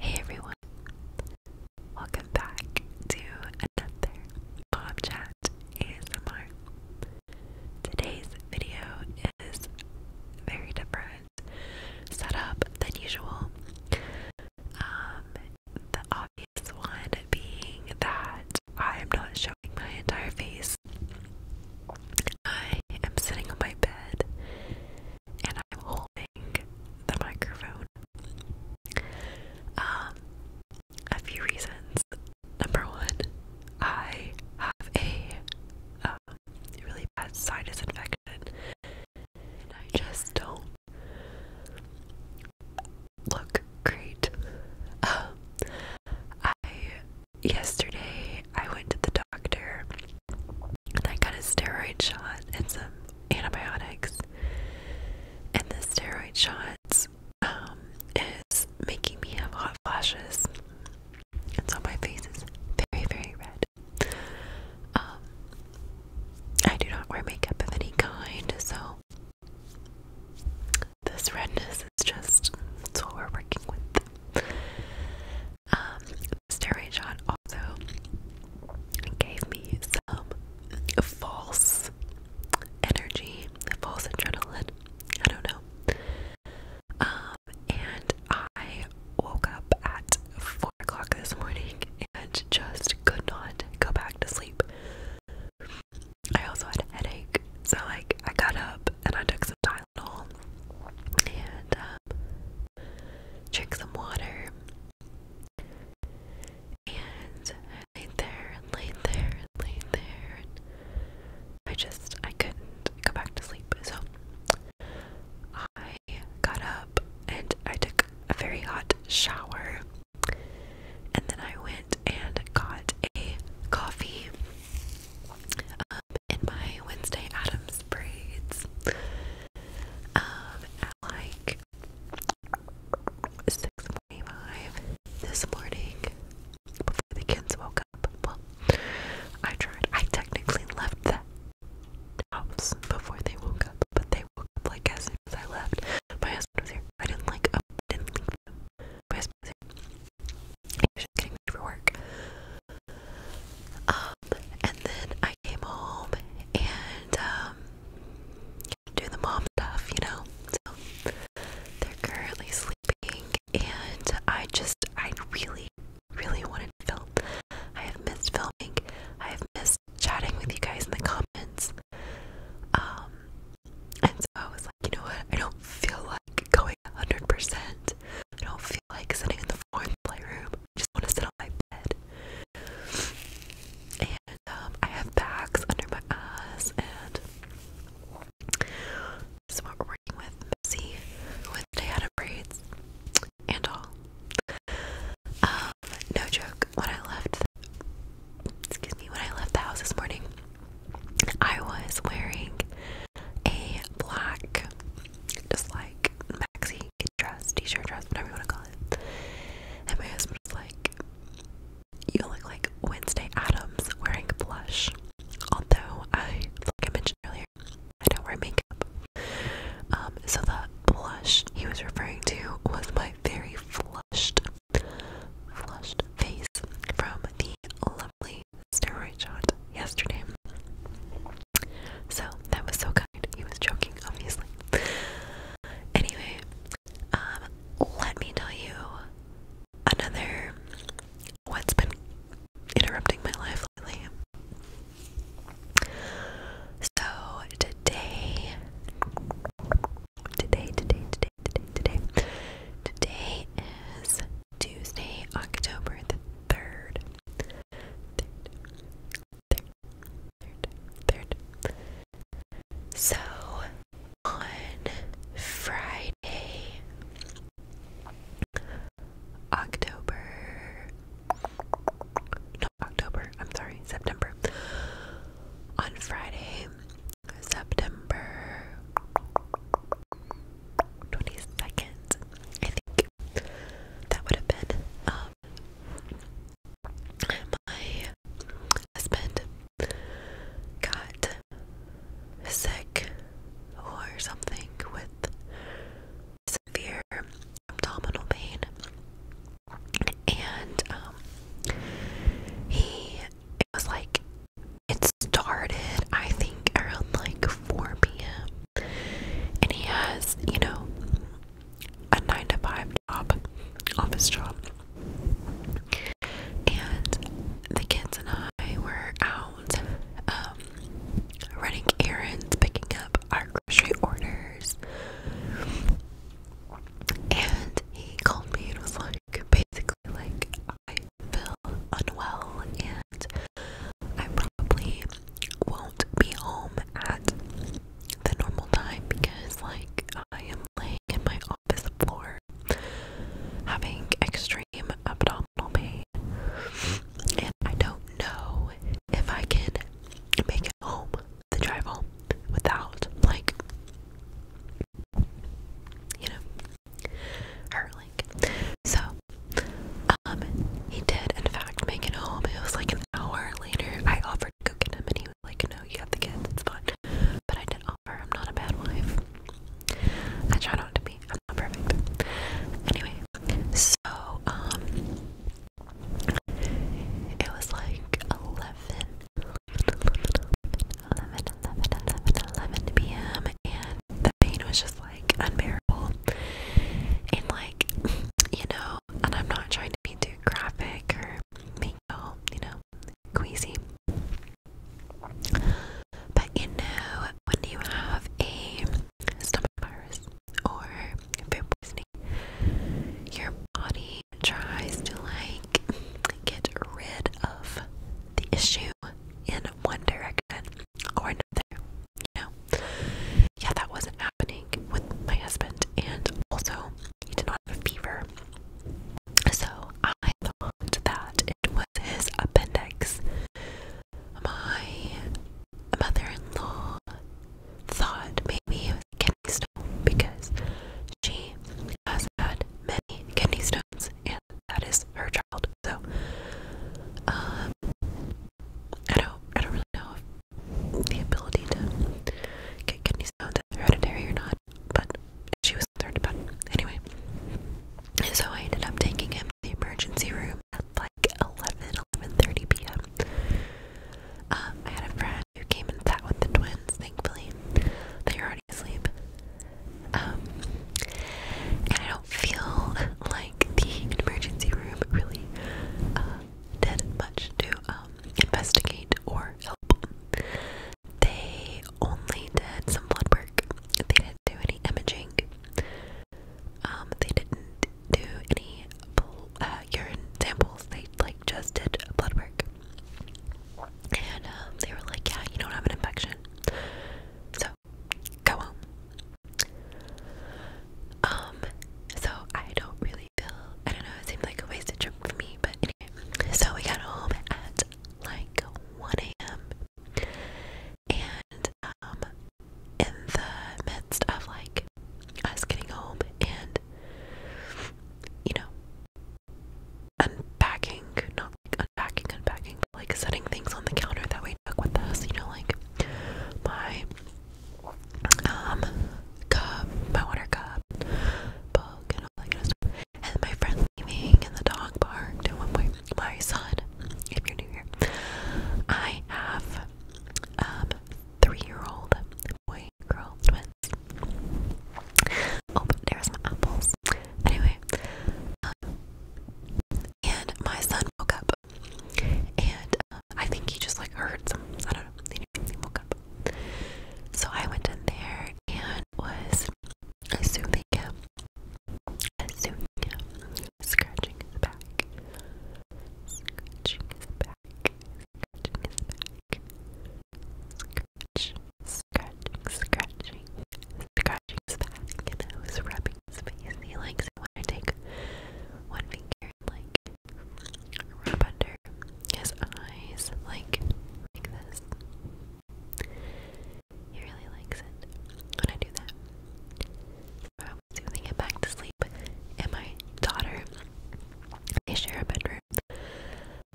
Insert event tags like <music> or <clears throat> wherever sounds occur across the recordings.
Hey everyone, welcome back to another Bob Chat ASMR. Today's video is very different setup than usual. Um, the obvious one being that I am not showing my entire face. I am sitting on my bed and I'm holding the microphone. Um, a few reasons. Number one, I have a um, really bad sinus infection, and I just don't look great. Um, I yesterday I went to the doctor and I got a steroid shot and some antibiotics. And the steroid shots um, is making me have hot flashes, and so my face is very, very red. Um, I do not wear makeup of any kind, so this redness is just it's what we're working with. Um, Steroid shot also gave me some false energy, false adrenaline. I don't know. Um, and I woke up at four o'clock this morning and just could not go back to sleep. I also had a headache, so like I got up and I took some Tylenol and um, some water. And I laid there and laid there and laid there. I just, I couldn't go back to sleep. So I got up and I took a very hot shower. And then I went and got a coffee. Um, up in my Wednesday Adams braids. Um, at like 6.45 this morning, before the kids woke up, well, I tried, I technically left the house before they woke up, but they woke up like as soon as I left. My husband was here. I didn't like oh, I didn't leave them. My husband was here. He was just getting ready for work. Um, and then I came home and um, do the mom stuff, you know. So they're currently sleeping, and I just, I really, really wanted to film. I have missed filming. I have missed chatting with you guys in the comments. Um, and so I was like, you know what? I don't feel like going 100%. I don't feel like sitting in the foreign playroom. just want to sit on my bed. And um, I have bags under my eyes and so we're working with Missy with Day Out of Braids and all. Um, no joke, when I left excuse me, when I left the house this morning, I was wearing a black, just like maxi dress, t-shirt dress, whatever you want to call it. And my husband was like, "You look like Wednesday Adams wearing blush." Although I, like I mentioned earlier, I don't wear makeup. Um, so the blush he was referring to was my very flushed, flushed face from the lovely steroid shot yesterday. So that was so kind. He was joking, obviously. Anyway, um, let me tell you another what's been interrupting my life lately. So today, today, today, today, today, today, today is Tuesday, October the 3rd. So on Friday, October, not October, I'm sorry, September. On Friday, September 22nd, that would have been um my husband got sick or something with severe abdominal pain and um he it was like it started I think around like 4 p.m. And he has, you know, a nine to five job, office job. And the kids and I were out um, running errands, picking up our grocery orders. And he called me and was like, basically, like, I feel unwell and I probably won't be home at the normal time because, like, I am laying in my office floor having extreme abdominal pain, and I don't know if I can make it home, the drive home, without, like, you know, hurling. So, um, he did in fact make it home. It was like an hour later. I offered to go get him and he was like, No, you have the kids, it's fine. But I did offer, I'm not a bad wife. I try not to be, I'm not perfect. Anyway, so um it was like 11 p.m. and the pain was just like unbearable and like <laughs> you know and I'm not trying to be too graphic or make all you know queasy but you know when you have a stomach virus or food poisoning your body tries to like get rid of the issue in one direction or another. You know? Yeah, that wasn't happening with my husband, and also he did not have a fever. So I thought that it was his appendix. My mother in law thought maybe it was kidney stone because she has had many kidney stones and that is her child. So, um, I don't, I don't really know if the ability to get you stones that hereditary or not, but she was concerned about it anyway. So I ended up taking him to the emergency room at like 11, 11:30 p.m. Um, I had a friend who came and sat with the twins. Thankfully, they were already asleep. Um, and I feel like the emergency room really uh, did much to um, investigate or help. They only did some blood work. They didn't do any imaging. Um, they didn't do any uh, urine samples. They like just did blood work, and um, they were like, "Yeah, you don't have an infection." So go home. Um, so I don't really feel, I don't know, it seemed like a wasted trip for me, but anyway. So we got home at like 1 a.m. And, um, in the midst of like us getting home and, you know, unpacking, not unpacking, unpacking, but like setting things on the counter that we took with us, you know, like my um cup, my water cup, book and all that stuff. And my friend leaving and the dog barked at one point. My son, if you're new here, I have um three-year-old boy girl twins. Oh, but there's my apples. Anyway, um, and my son woke up, and uh, I think he just like heard some. I don't know. Anyway, woke up, so I went in there and was assuming him, assuming him, scratching his back, scratching his back, scratching his back, scratch, scratching, scratching, scratching his back, and I was rubbing he likes it when I take one finger like rub under his eyes, like like this. He really likes it when I do that. I was soothing it back to sleep, and my daughter, they share a bedroom.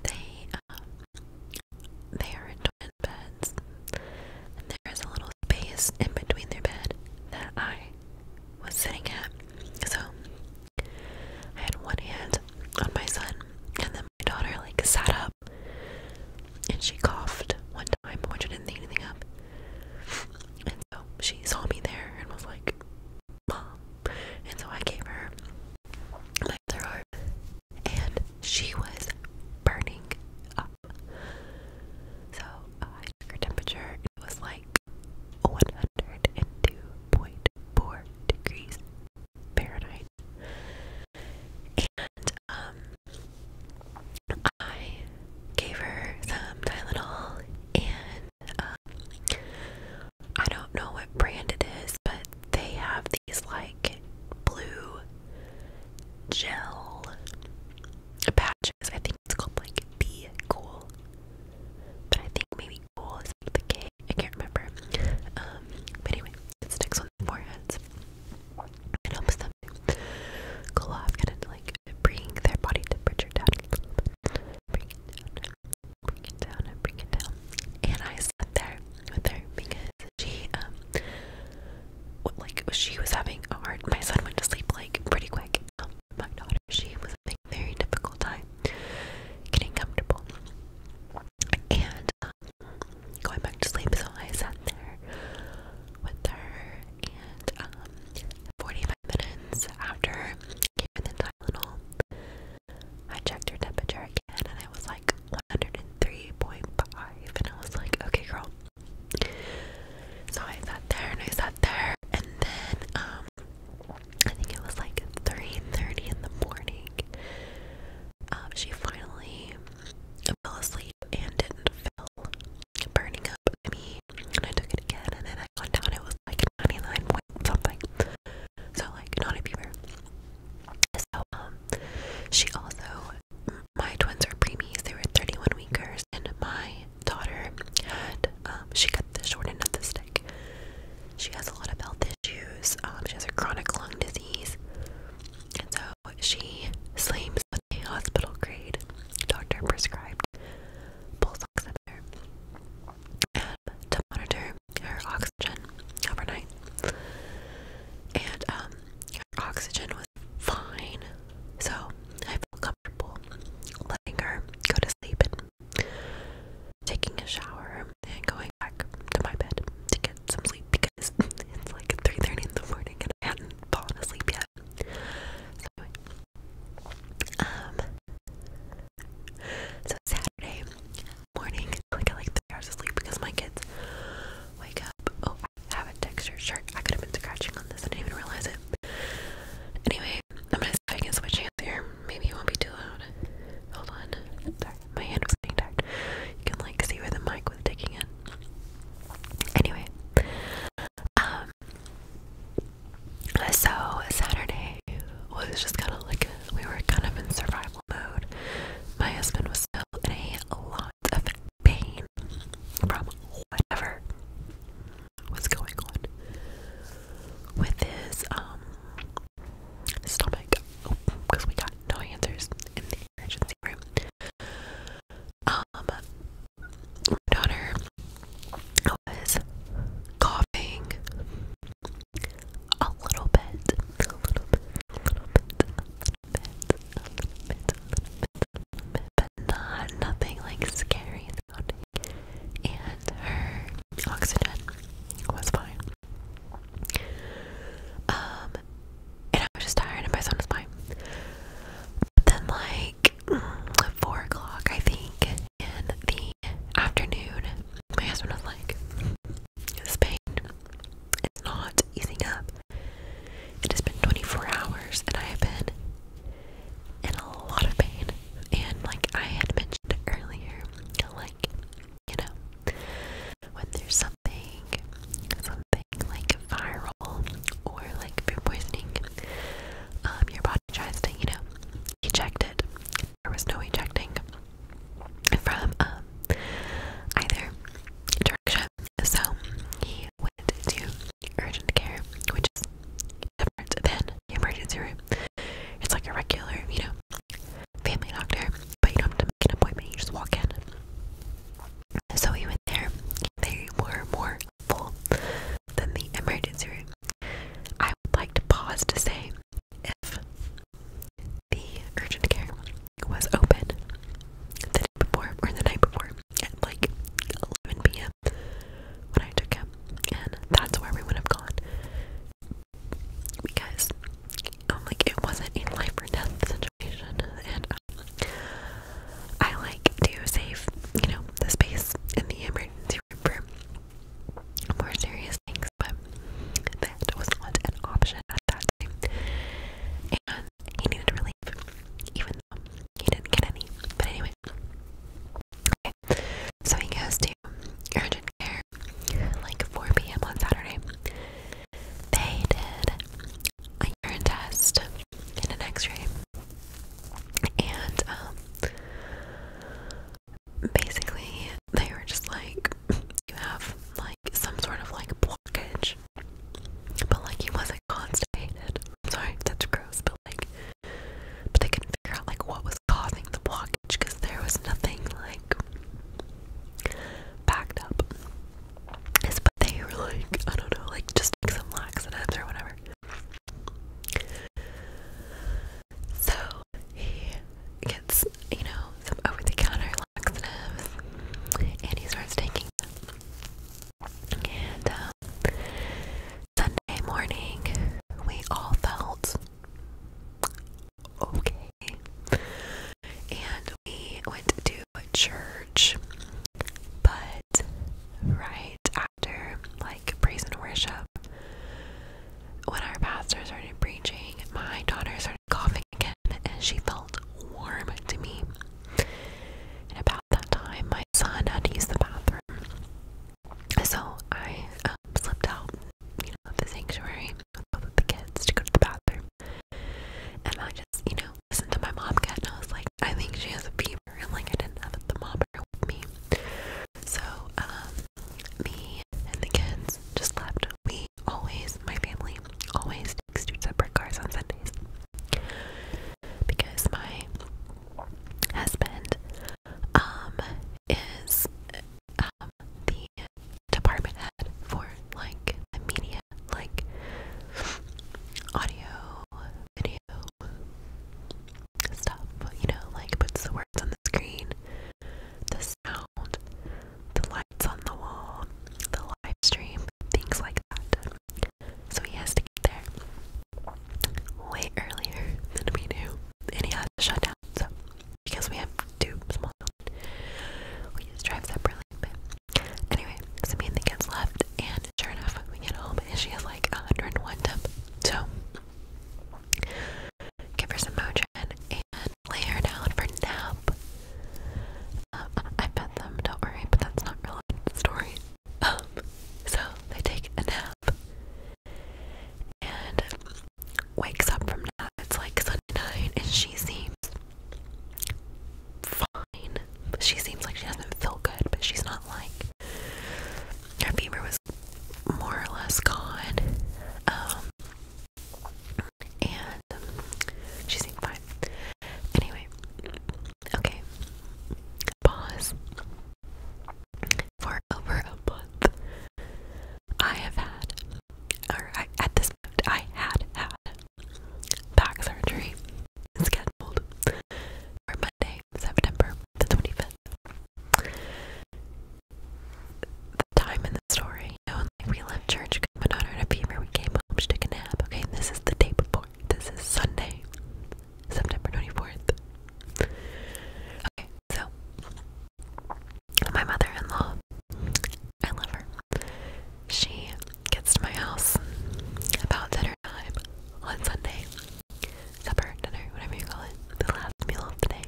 They um, they are twin beds, there is a little space in between their bed that I was sitting at. So I had one hand on my son, and then my daughter like sat up and she coughed one time, which I didn't think anything of. And so she saw me there and was like, Mom. And so I gave her my other arm, and she was burning up. So her temperature. It was like 102.4 degrees Fahrenheit. And um, I gave her some Tylenol, and um, I don't know what brand it is, but they have these like blue gel patches. I think it's called like the cool, but I think maybe cool is like the K. I can't remember. Um, but anyway, it sticks on the foreheads and helps them cool off, kind of like bring their body temperature down Bring it down, bring it down, and bring it down. And I sat there with her because she um, like she was having a hard my son went to sleep like pretty quick um, my daughter she was having a very difficult time getting comfortable and um, going back to sleep so i sat there with her and 45 minutes after gave the tylenol i checked her temperature again and it was like 103.5 and i was like okay girl so I sat there and I sat there and then um, I think it was like 3:30 in the morning. Uh, she finally fell asleep and didn't feel burning up me and I took it again and then I got down it was like 99 point something. So like not a fever. So um she also my twins are preemies, they were 31 weekers, and my daughter had, um, she got the short end of the stick. She has a lot of health issues, um, she has a chronic lung disease, and so she sleeps with a hospital grade doctor prescribed pulse oximeter um, to monitor her oxygen overnight. And um, Oxygen was fine, so I felt comfortable letting her go to sleep and taking a shower and going back to my bed to get some sleep because <laughs> it's like 3:30 in the morning and I hadn't fallen asleep yet. So anyway, um, so Saturday morning, like I like three hours of sleep because my kids wake up. Oh, have a textured shirt. I could have been scratching on this. I didn't even realize it. Anyway, I'm gonna see if I can switch hands here. Maybe it won't be too loud. Hold on. Sorry, my hand was getting tired. You can like see where the mic was taking in. Anyway, um, so Saturday was just kind of like we were kind of in survival mode. My husband was still in a lot of pain from whatever was going on with his um stomach. because oh, we got no answers in the emergency room. Um, my daughter was coughing a little bit, a little bit, a little bit, not nothing like scary sounding. And her oxygen was fine. Um, and I was just tired, and my son was fine. But then, like <clears throat> four o'clock, I think, in the afternoon, my husband was like, "Spain, it's not easing up." It has been 24 hours and I have been in a lot of pain. And like I had mentioned earlier, like, you know, when there's something, something like viral or like food poisoning, um, your body tries to, you know, eject it. There was no ejecting from um, either so he went to urgent care, which is different than the emergency room. It's like a regular, you know, family doctor, but you don't have to make an appointment, you just walk in. So he went there, they were more full than the emergency room. I would like to pause to say if the urgent care was open the day before or the night before at like 11 p.m. when I took him, and that's where we would have gone because I'm um, like it wasn't a life or death situation, and um, I like to save you know the space in the emergency room for more serious things, but that was not an option at that time. He needed relief, even though he didn't get any. But anyway, okay. So he goes to urgent care like 4 p.m. on Saturday. They did a urine test and an X-ray, and um, basically they were just like, you have like some sort of like blockage but like he wasn't constant hated. I'm sorry, that's gross, but like but they couldn't figure out like what was causing the blockage because there was nothing like backed up. but they were like, I don't know, like just like some laxatives or whatever. So he gets, you know, some over the counter and he starts taking And um, Sunday morning, we all felt okay, and we went to church. But right after, like praise and worship, when our pastor started preaching, my daughters are coughing again, and she felt warm to me. And about that time, my son had to use the bathroom. So I um, slipped out, of the sanctuary with the kids to go to the bathroom. And I just, you know, listened to my mom cat, and I was like, I think she has a fever. And like, I didn't have the mopper with me. So, um, me and the kids just left we always, my family, always takes two separate cars on Sundays because my husband um is um the department head for like the media, like audio, video stuff. You know, like puts the words on the screen, the sound, the lights on the wall, the live stream, things like that. So he has to get there way earlier than we do, and he has to shut down. So because we have two small we just drive separately. But anyway, so me and the kids left, and sure enough, we get home, and she has like 101 temp. So give her some motion lay her down for nap. Um, I fed them, don't worry, but that's not really the story. Um, so they take a nap and wakes up from nap. It's like Sunday night, and she seems fine. She seems like she doesn't feel good, but she's not like her fever was more or less gone. Um, and um, she's she fine. Anyway, okay, pause. For over a month, I have had, or at this point, I had had back surgery scheduled for Monday, September the 25th. The time in the story you know, and, like we left church, coming on out of fever, we came home, she took a nap. Okay, this is the day before. This is Sunday, September 24th. Okay, so my mother-in-law, I love her. She gets to my house about dinner time on Sunday. Supper, dinner, whatever you call it. The last meal of the day.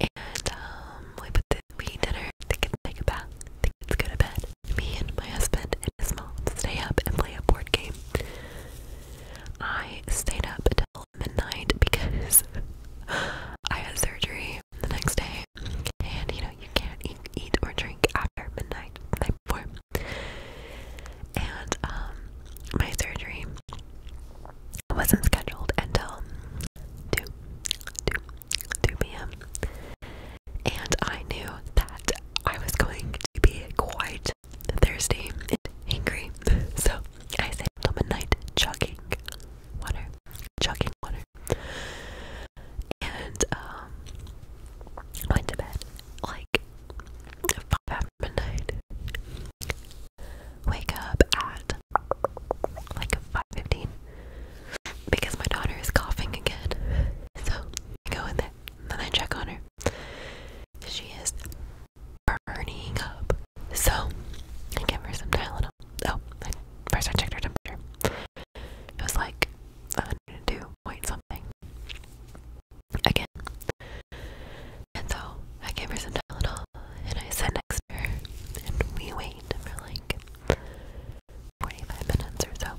And um, we put the we eat dinner. The kids take a bath. The kids go to bed. Me and my husband and his mom stay up and play a board game. I stayed up until midnight because <laughs> I had surgery the next day, and you know you can't eat, or drink after midnight the night before. And um, my surgery wasn't scheduled until two. 2, 2 p.m. And I knew that I was going to be quite thirsty and angry. <laughs> So I stayed up midnight chugging water. Chugging water. And um went to bed like five after midnight. Wake up at at like 5.15 because my daughter is coughing again. So I go in there then I check on her. She is burning up. So I give her some Tylenol. Oh, first I checked her temperature. It was like 102 point something. Again. And so I gave her some Tylenol and I sat next and we wait for like 45 minutes or so.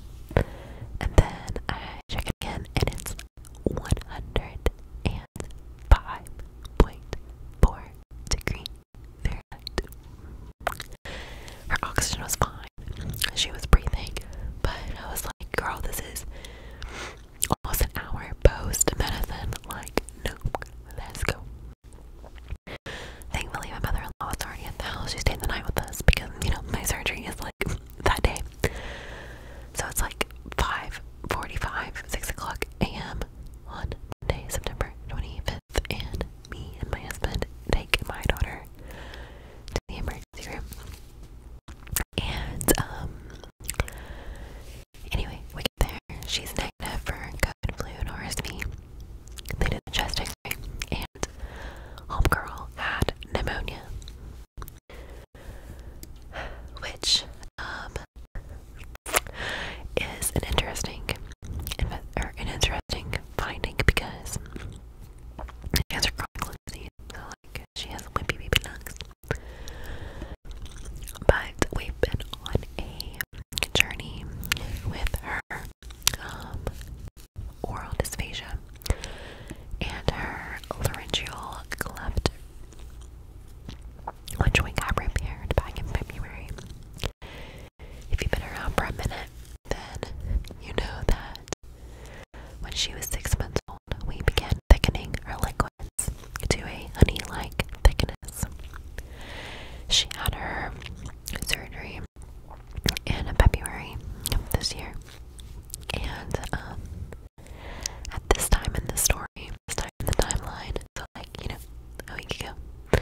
And then I check it again and it's 105.4 degrees Fahrenheit. Her oxygen was fine. She was breathing, but I was like, girl, this is almost an hour post medicine. Like, nope, let's go. Thankfully, my mother in law was already at the house. She stayed the night with us because, you know, my surgery is like that day. So it's like 5:45, 6 o'clock a.m. on Monday, September 25th, and me and my husband take my daughter to the emergency room. And um Anyway, we get there. She's negative for COVID, flu, and RSV. They did the chest x-ray, and homegirl had pneumonia. Which, um, is an interesting, or an interesting finding because she has her chronic lung disease, like she has wimpy baby lungs. But we've been on a journey with her um, oral dysphagia and her laryngeal cleft, which we got repaired back in February. If you've been around for a minute, then you know that when she was six months old, we began thickening her liquids to a honey like thickness illness. She had her surgery in February of this year. And um, at this time in the story, this time in the timeline, so like, you know, a week ago,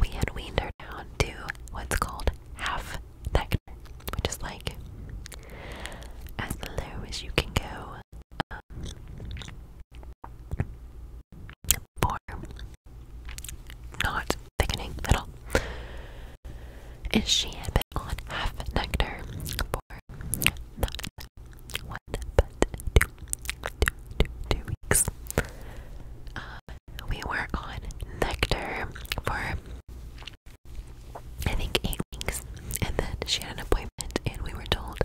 we had weaned her down to what's called half nectar, which is like as low as you can go or not thickening at all. If she had been on half nectar for not but two, two, two, two weeks, uh, we were on nectar for I think eight weeks, and then she had an appointment, and we were told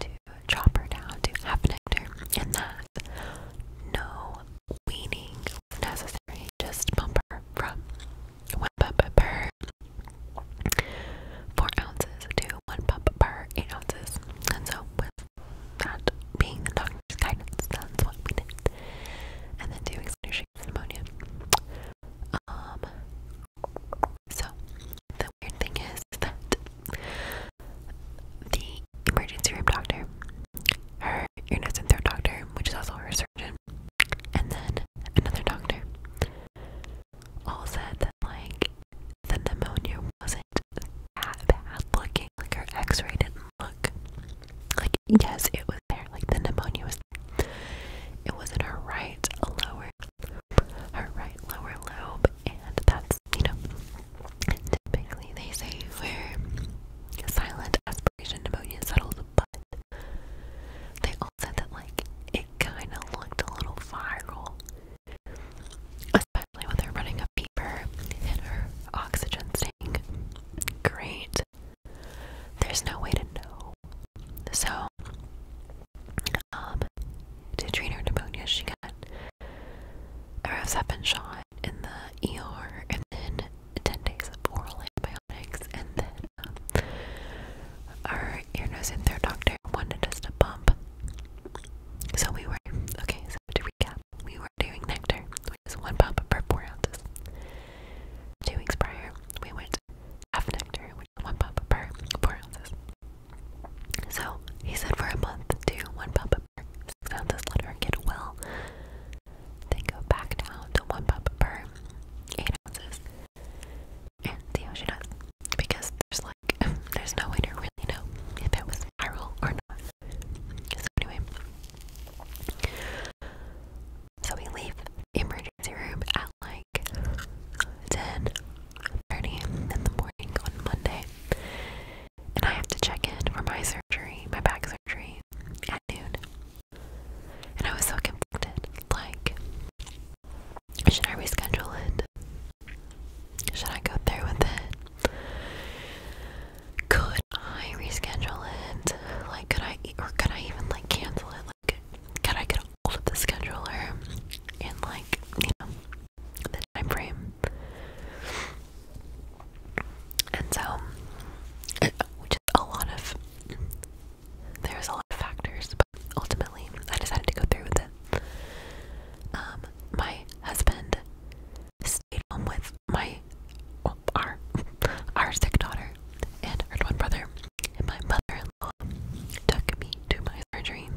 to chopper down to half an hectare, and that's no weaning necessary. Just pump her from one pump per four ounces to one pump per eight ounces. And so, with that being the doctor's guidance, that's what we did. And then doing some shakes and ammonia. Um, so, the weird thing is that the emergency room doctor, her ear, and throat doctor, which is also her surgeon, and then another doctor, all said that, like, the pneumonia wasn't that bad looking. Like, her x ray didn't look. Like, yes, it was there. Like, the pneumonia was there. It was in her right lower her right lower lobe, and that's, you know, typically they say where silent aspiration pneumonia settles, but they all said that, like, it kind of looked a little viral, especially when they're running a fever and her oxygen staying great. There's no way to know. So, to treat her pneumonia. She got a Roseppin shot in the ER, and then 10 days of oral antibiotics, and then um, our ear, nose, and throat doctor wanted us to pump. So we were, okay, so to recap, we were doing nectar, which is one pump per four ounces. Two weeks prior, we went half nectar, which is one pump per four ounces. So he said for a month to one pop per six ounces. Let get well. Then go back down to one pop per eight ounces and see how she does. Because there's like <laughs> there's no way to really know if it was viral or not. So anyway, so we leave emergency room at like like in the morning on Monday. And I have to check in for my surgery, my back surgery, at noon. And I was so conflicted. Like, should I reschedule it? Should I go through with it? Could I reschedule it? Like, could I, or could I even like cancel it? Like, could I get of the scheduler and like, you know, the time frame. And so which is a lot of there's a lot of factors, but ultimately I decided to go through with it. Um, my husband stayed home with my our our sick daughter and her twin brother, and my mother-in-law took me to my surgery.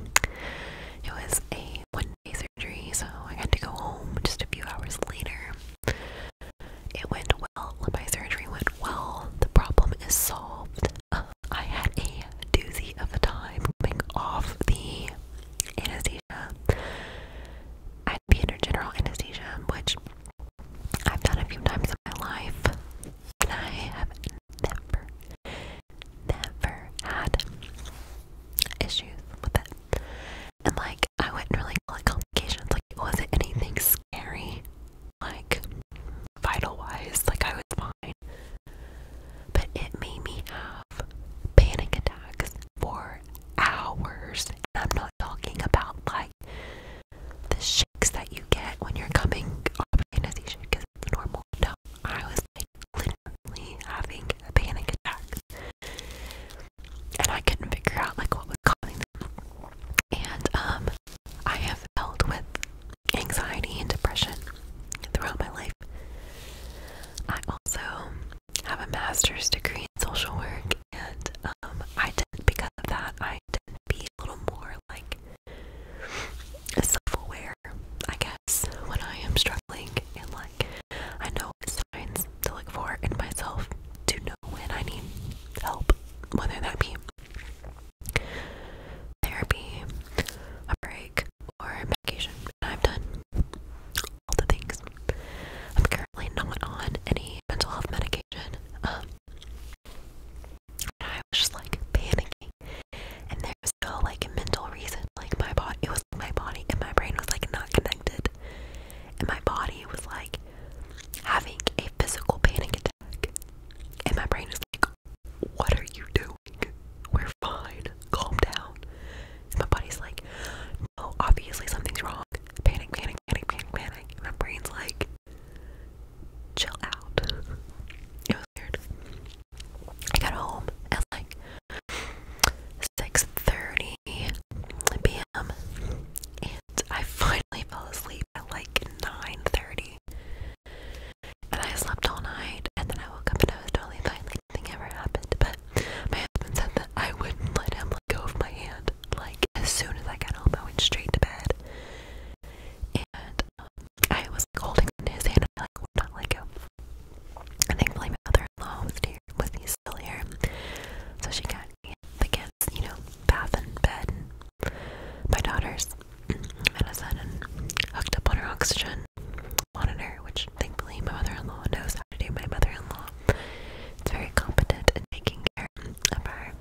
It was a one day surgery, so I had to go home just a few hours later. It went well, my surgery went well, the problem is solved. Uh, I had a doozy of a time coming off the anesthesia. I had to be under general anesthesia, which I've done a few times in my life, and I have never never had issues with it. And like I wouldn't really call it complications. Like it wasn't anything scary, like vital wise, like I was fine. But it made me have panic attacks for hours. And I'm not talking about like the shakes that you get when you're coming off oh, anesthesia because normal. No, I was like literally having a panic attack, and I couldn't figure out like what was causing them. And um, I have dealt with anxiety and depression throughout my life. I also have a master's degree in social work, and um, I did because of that. I didn't be a little more like self-aware, I guess, when I am struggling and like I know signs to look for in myself to know when I need help, whether that be therapy, a break, or medication. I've done all the things. I'm currently not on any mental health medication. Um, and I was just like panicking. And there was no like mental reason. Like my body, it was my body and my brain was like not connected. And my body was like having a physical panic attack. And my brain was like, what are you doing? We're fine. Calm down. And my body's like, no, obviously something's wrong. Panic, panic, panic, panic, panic. And my brain's like, chill out. <laughs> It was weird. I got home at like 6:30 p.m. and I <laughs> finally fell asleep at like 9:30. And I slept all night, and then I woke up and I was totally fine, like nothing ever happened. But my husband said that I wouldn't let him let go of my hand. Like as soon as I got home, I went straight to bed. And um, I was like, holding on to his hand, and I like would not let go. And thankfully, my mother-in-law was here, was still here, so she got the kids, you know, bath and bed, my daughter's medicine, and hooked up on her oxygen monitor, which thankfully my mother-in-law knows how to do. My mother-in-law is very competent in taking care of our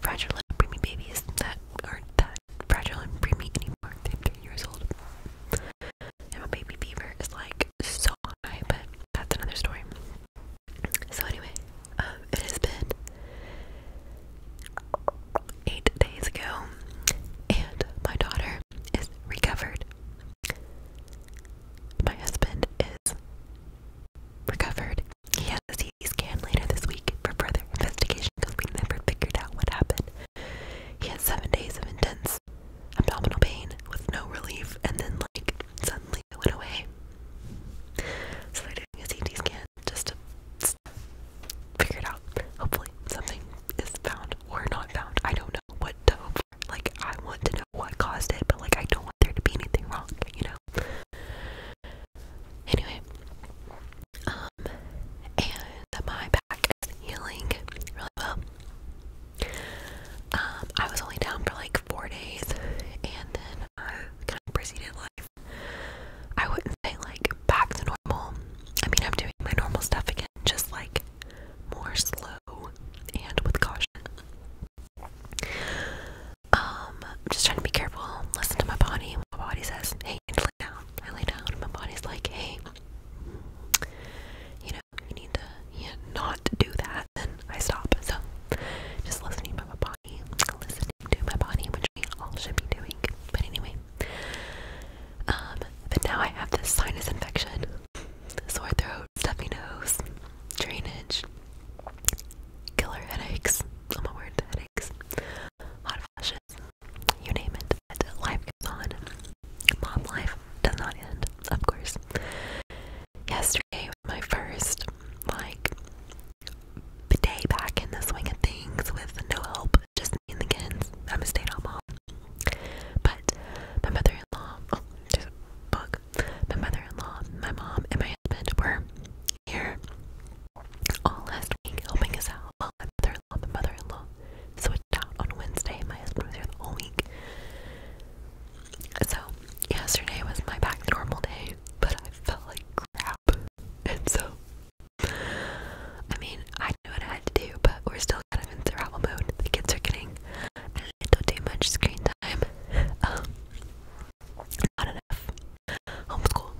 fragile little preemie babies that aren't that fragile and preemie anymore. i three years old. And my baby fever is like so high, but that's another story. So anyway, um, it has been eight days ago, and my daughter is recovered. My husband is recovered. He has his police can later this week for further investigation because we never figured out what happened. He had seven days of intense abdominal pain with no relief, and then, like, suddenly it went away. So they're a CT scan just to figure it out. Hopefully, something is found or not found. I don't know what to Like, I want to know what caused it, but, like, I don't want there to be anything wrong, you know? Anyway, um, and my back is healing really well. Um, I was only down for like four days, and then I kind of proceeded life. I wouldn't say like back to normal. I mean, I'm doing my normal stuff again, just like more slow and with caution. I'm um, just trying to be careful, listen to my body, my body says, hey, lay down. I lay down, and my body's like, hey, you know, you need to not do that, then I stop. So, just listening to my body, listening to my body, which we all should be doing. But anyway, um, but now I have this sinus infection, sore throat, stuffy nose, drainage, killer headaches. Oh my word, headaches. Hot flash, you name it. life goes on. Mom life does not end, of course. Yesterday was my first like day back in the swing of things with no help, just me and the kids. I'm a stay-at-home mom. But my mother-in-law, oh, there's a book. My mother-in-law, my mom, and my husband were here all last week helping us out my mother-in-law switched out on Wednesday. My husband was here the whole week. So yesterday was my back to normal day, but I felt like crap. And so I mean I knew what I had to do, but we're still kind of in survival mode. The kids are getting I don't do much screen time. Um, not enough homeschool.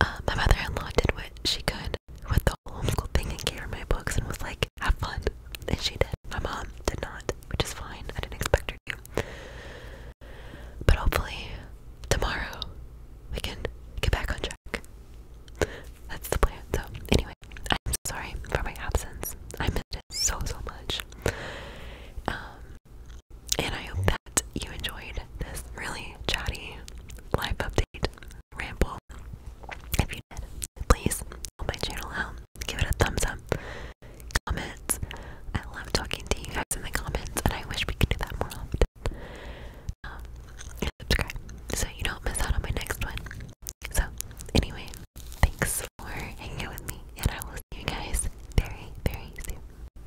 Uh, my mother-in-law did what she could with the whole homeschool thing and gave her my books and was like, have fun. And she did. My mom did not, which is fine. I didn't expect her to. But hopefully, tomorrow, we can get back on track. That's the plan. So, anyway, I'm sorry for my absence. I missed it so, so much. Um, and I hope that you enjoyed this really chatty life update ramble. If you did, please help my channel out. Give it a thumbs up. Comments. I love talking to you guys in the comments, and I wish we could do that more often. Um, subscribe so you don't miss out on my next one. So, anyway, thanks for hanging out with me, and I will see you guys very, very soon.